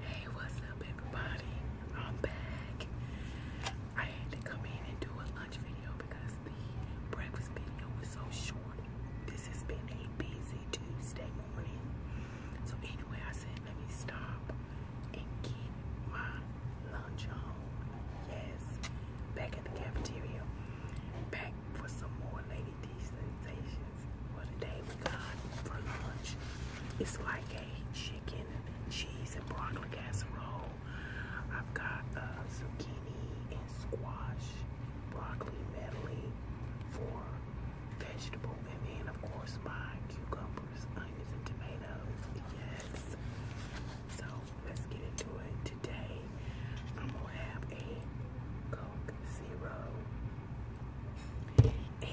Hey, what's up, everybody? I'm back. I had to come in and do a lunch video because the breakfast video was so short. This has been a busy Tuesday morning. So, anyway, I said, let me stop and get my lunch Yes, back at the cafeteria. Back for some more Lady D sensation for day we got for lunch. It's like a chicken, cheese, and broccoli casserole. I've got uh, zucchini and squash, broccoli medley for vegetable, and then of course my cucumbers, onions, and tomatoes. Yes. So let's get into it. Today I'm gonna have a Coke Zero and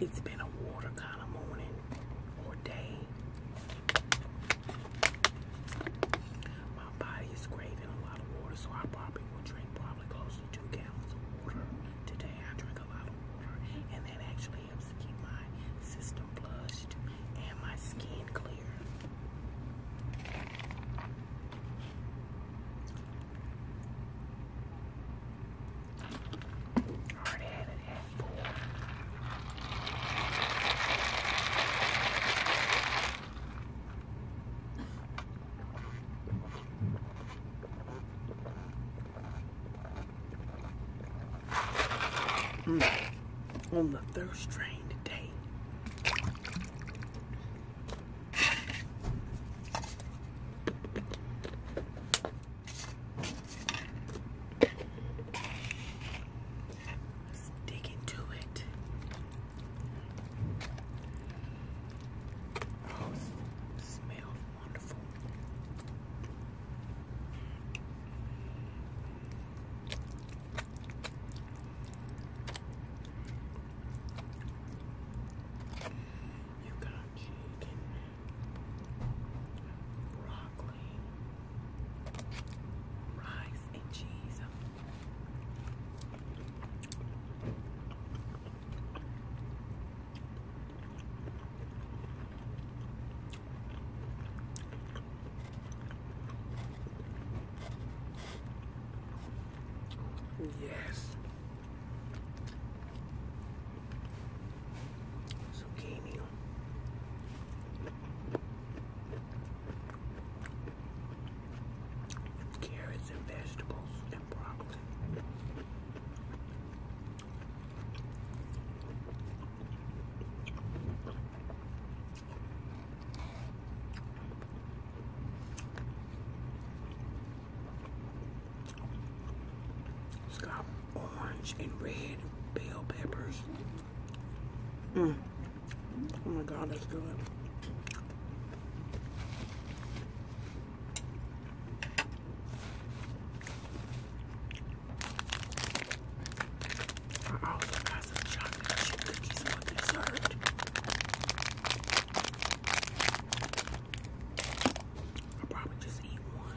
It's been a water kind of morning or day. My body is craving a lot of water, so I probably will drink probably close to two gallons of water today. I drink a lot of water, and that actually helps keep my system flushed and my skin clear. Already had it at four. Mm. On the thirst train today. Let's dig it. Oh, smells wonderful. You got chicken, broccoli, rice, and cheese. Yes zucchini carrots and vegetables and broccoli it's got orange and red bell peppers. Mm. Oh my god, that's good. I also got some chocolate chip cookies for dessert. I'll probably just eat one.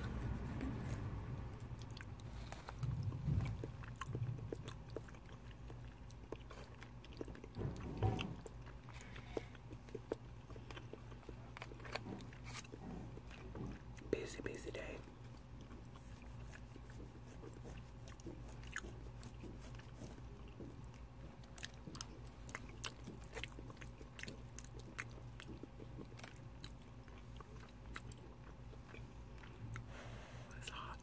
Busy, busy day. It's hot.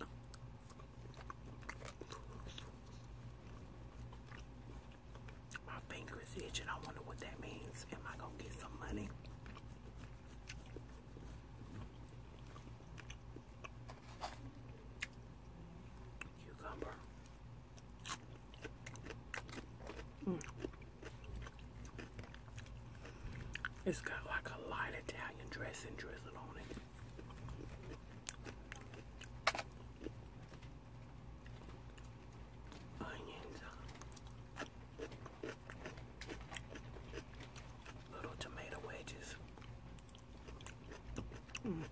My finger is itching. I wonder what that means. Am I gonna get some money? Cucumber. Mm. It's got like a light Italian dressing drizzled on it. Onions, little tomato wedges, Mm.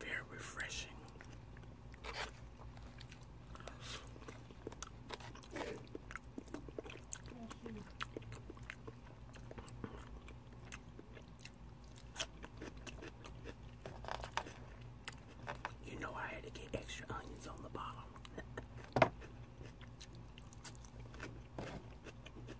Very refreshing. You know, I had to get extra onions on the bottom.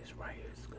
This right here is good.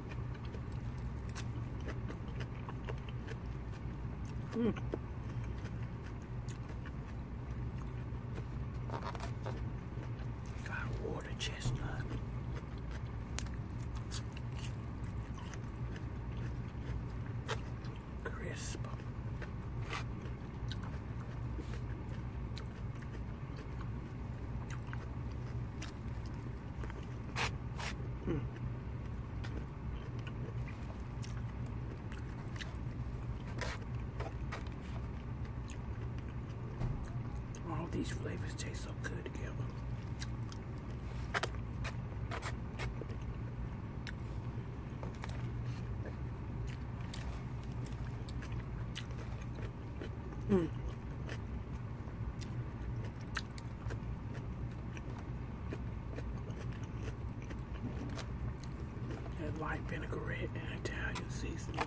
Mm. Got a water chestnut. Crisp. Mm. All these flavors taste so good together. Mm. That light vinaigrette and Italian seasoning.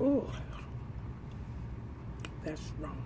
Ooh, that's wrong.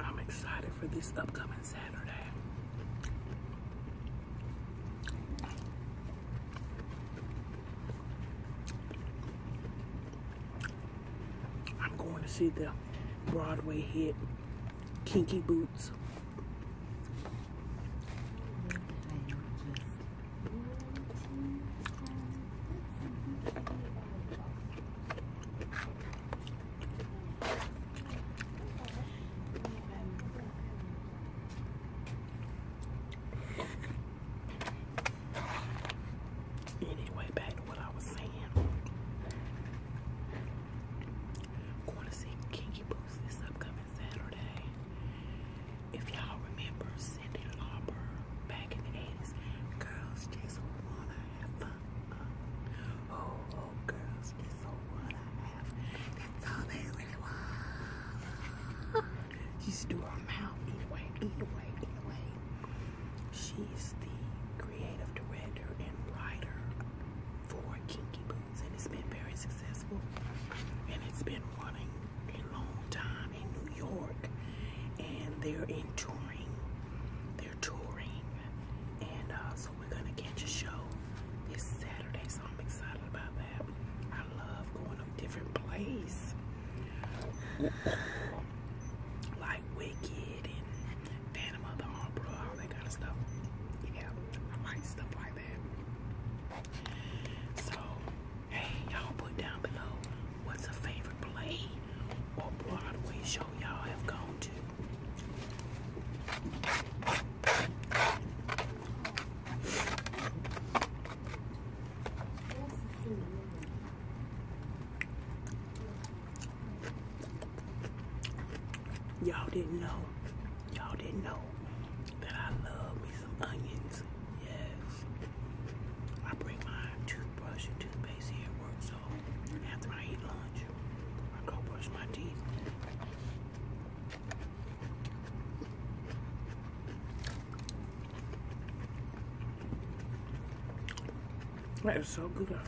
I'm excited for this upcoming Saturday. I'm going to see the Broadway hit Kinky Boots. Anyway, back to what I was saying. Going to see Kinky Boots this upcoming Saturday. If y'all remember Cindy Lauper back in the 80s, girls just want to have fun. Oh, oh, girls, it's all what I have. That's all they really want. She used her mouth anyway, anyway, anyway. She's the creative director and writer for Kinky Boots, and it's been very successful. And it's been running a long time in New York, and they're in touring. They're touring and uh, so we're gonna catch a show this Saturday, so I'm excited about that. I love going to different plays. like Wicked and Phantom of the Opera, all that kind of stuff. Yeah, stuff like that. So, hey, y'all put down below what's a favorite play or Broadway show y'all have gone to. Y'all didn't know. Y'all didn't know that I love me some onions. Yes. I bring my toothbrush and toothpaste here at work, after I eat lunch, you. I go brush my teeth. That is so good.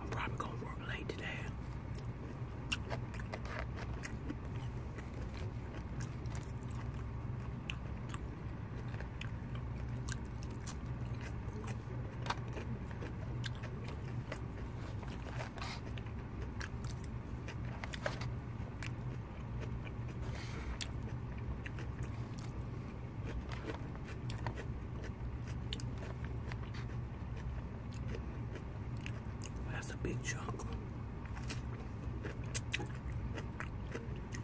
I'm probably gonna work late today. That's a big chunk.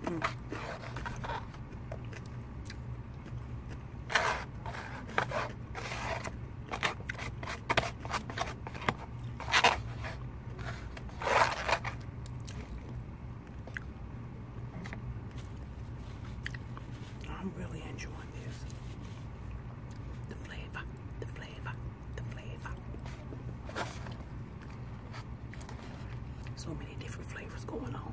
Mm. I'm really enjoying this. The flavor, the flavor, the flavor. So many different flavors going on.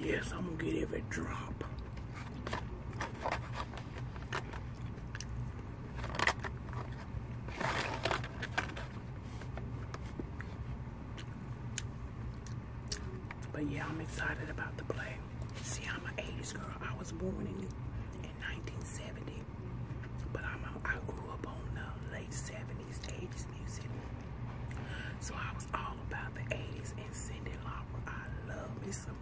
Yes, I'm gonna get every drop. But yeah, I'm excited about the play. See, I'm an 80s girl. I was born in, 1970. But I'm a, I grew up on the late 70s, 80s music. So I was all about the 80s and Cindy Lauper. I love me some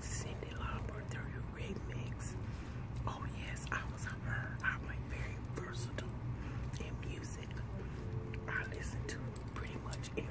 Cindy Lauper, through the remix. Oh yes, I was her. I'm very versatile in music. I listen to pretty much every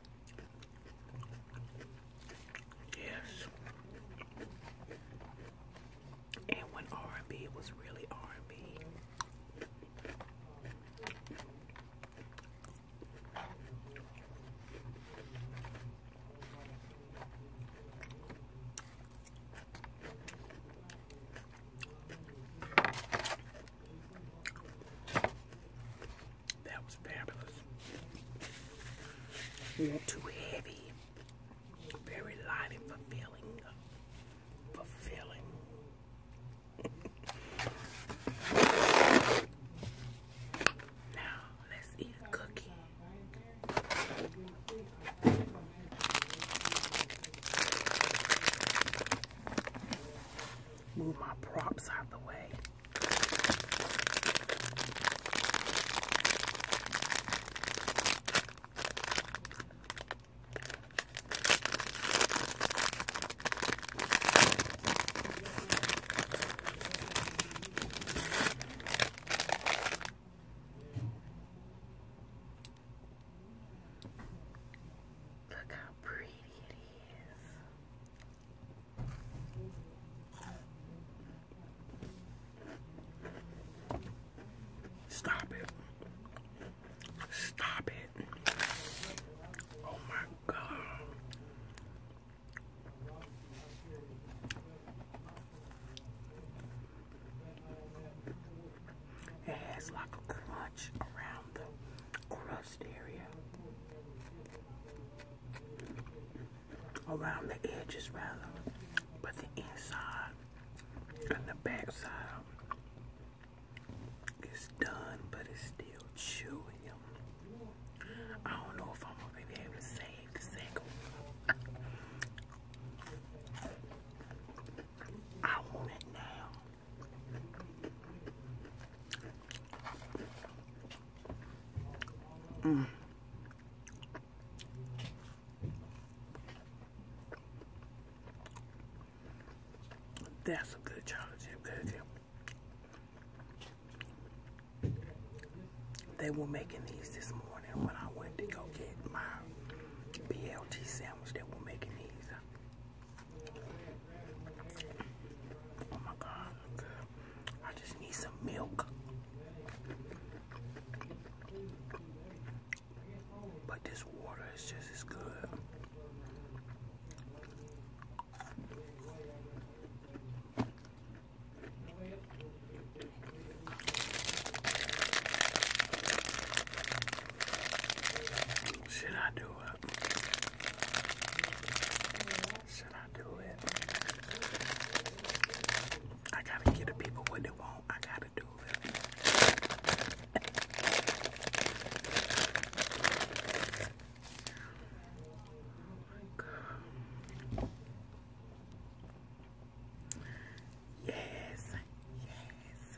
Yes. And when R&B was really R&B. That was fabulous. Not too heavy. Very light and fulfilling. Fulfilling. now, let's eat a cookie. Move my props out of the way. Look how pretty it is. Stop it. Stop it. Oh my god. It has like a crunch around the crust area around the edges rather, but the inside and the backside is done, but it's still chewy. I don't know if I'm gonna be able to save the second I want it now. Mm. That's a good chocolate They were making these this morning when I went to go get my BLT sandwich. They were making these. Oh my God, I just need some milk. But this water is just as good. Should I do it? Should I I gotta get the people what they want. I gotta do it. Oh yes, yes.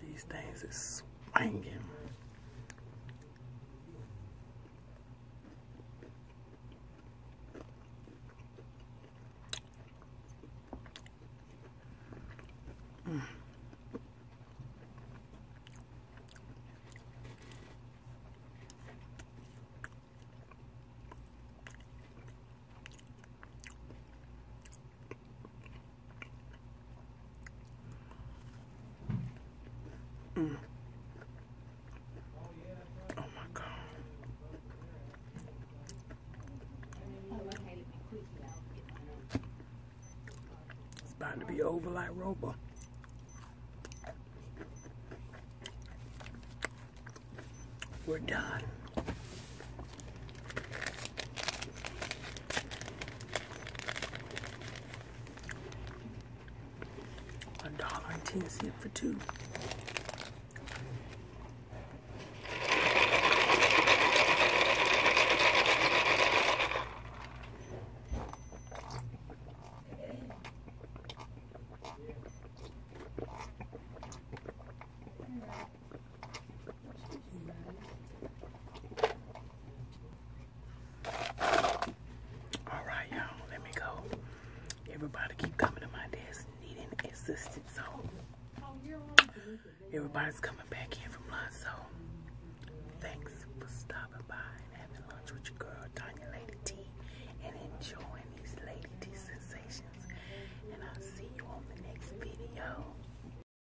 These things are swinging. Mm. Oh my god. It's about to be over like Robo. We're done. A dollar and ten cent for two. All right, y'all, let me go. Everybody keep coming to my desk needing assistance, so everybody's coming back in from lunch, so thanks for stopping by and having lunch with your girl, Tanya Lady T, and enjoying these Lady T sensations, and I'll see you on the next video.